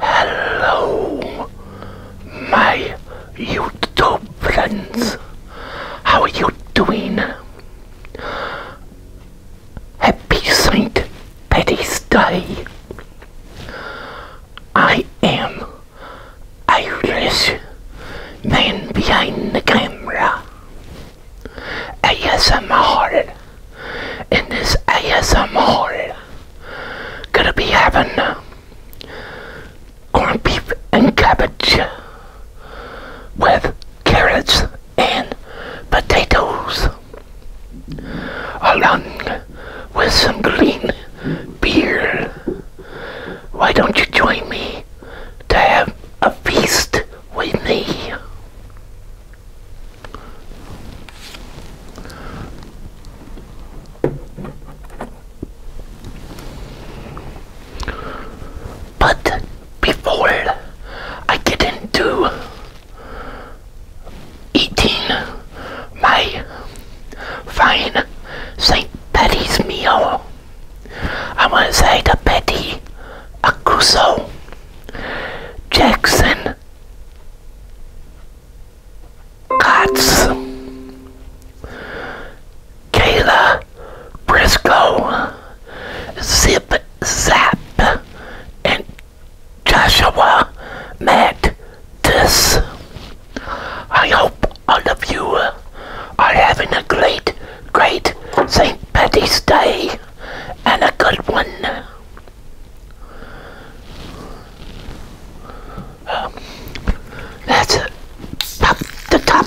Hello, my YouTube friends. How are you doing? Happy Saint Patty's Day. I am Irish man behind the camera. ASMR. In this ASMR, gonna be having uh, corned beef and cabbage with carrots and potatoes, along with some green beer. Why don't you join me to have a feast? With me, But before I get into eating my fine St. Patty's meal, I want to say to a Acuso. Jackson Cots Kayla Briscoe Zip Zap and Joshua Matt This I hope all of you are having a great, great St. Patty's Day and a good one. Um, that's it. Pop the top.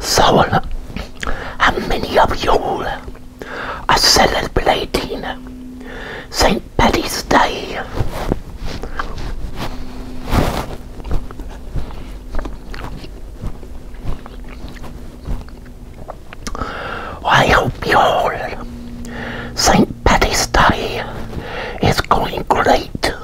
So, how many of you are celebrating St. Patty's Day? I hope you all St. Patty's Day is going great.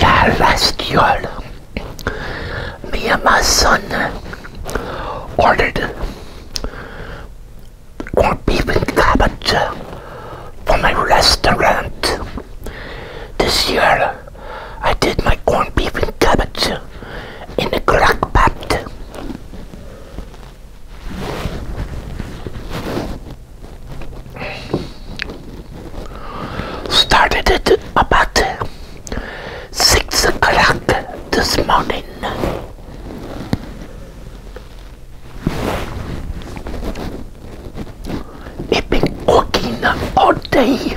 La Lastiole. Me and my son ordered corned beef and cabbage from a restaurant. This year I did my corned beef and cabbage in the crackpot. Started at about six o'clock this morning. It's been cooking all day.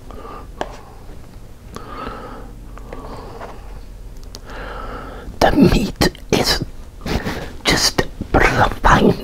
The meat is just perfect.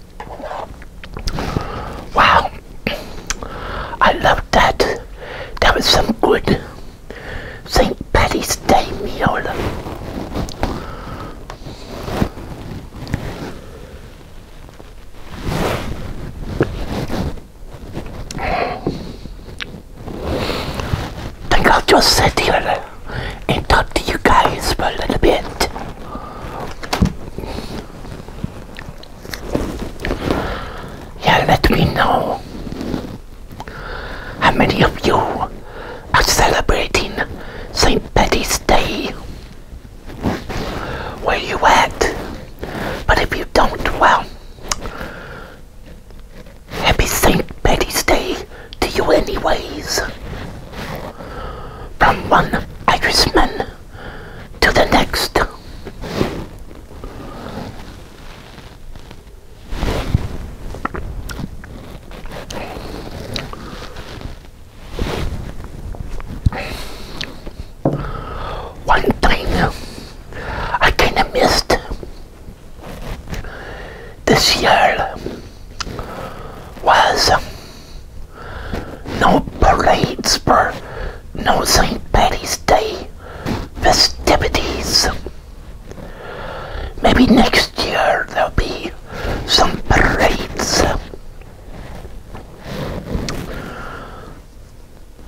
Wow. I love that. That was some good St. Patty's Day meal. think I'll just sit here and talk to you guys for a little bit. Yeah, let me know how many of you are celebrating St. Patty's Day. Where you at? But if you don't, well, happy St. Patty's Day to you anyways. From one Irishman to the next. One thing I kind of missed this year was no parades for no St. Patty's Day festivities. Maybe next year there'll be some parades.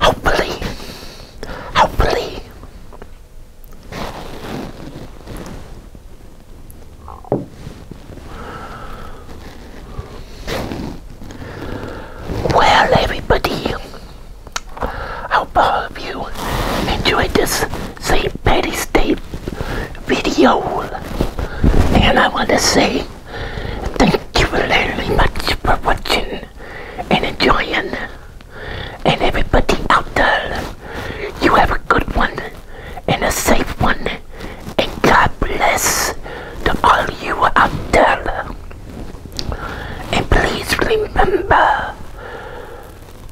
Hopefully, hopefully. Well, everybody, I hope you enjoyed this St. Patty's Day video. And I want to say thank you very much for watching and enjoying and everybody out there. You have a good one and a safe one, and God bless to all you out there. And please remember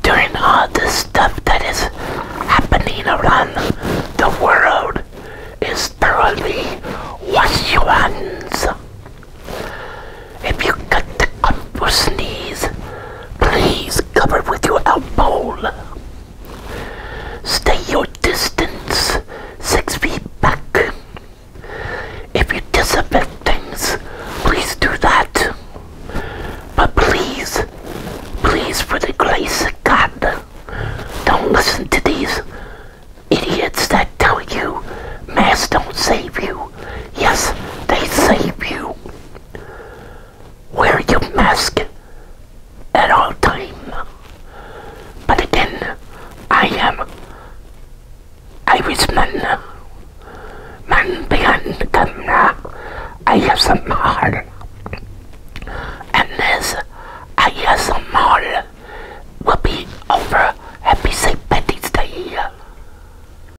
during all the stuff that is happening around the world is thoroughly wash your hands. If you got the cough sneeze, Please cover with your alcohol. Stay your distance six feet back. If you disinfect things, please do that. But please, please, for the grace of God, don't listen to these idiots that tell you masks don't save you. Yes, they save you. Wear your mask at all time. But again, I am Irishman. Man behind the camera, I have some hard. And this I have some will be over. Happy St. Patty's Day.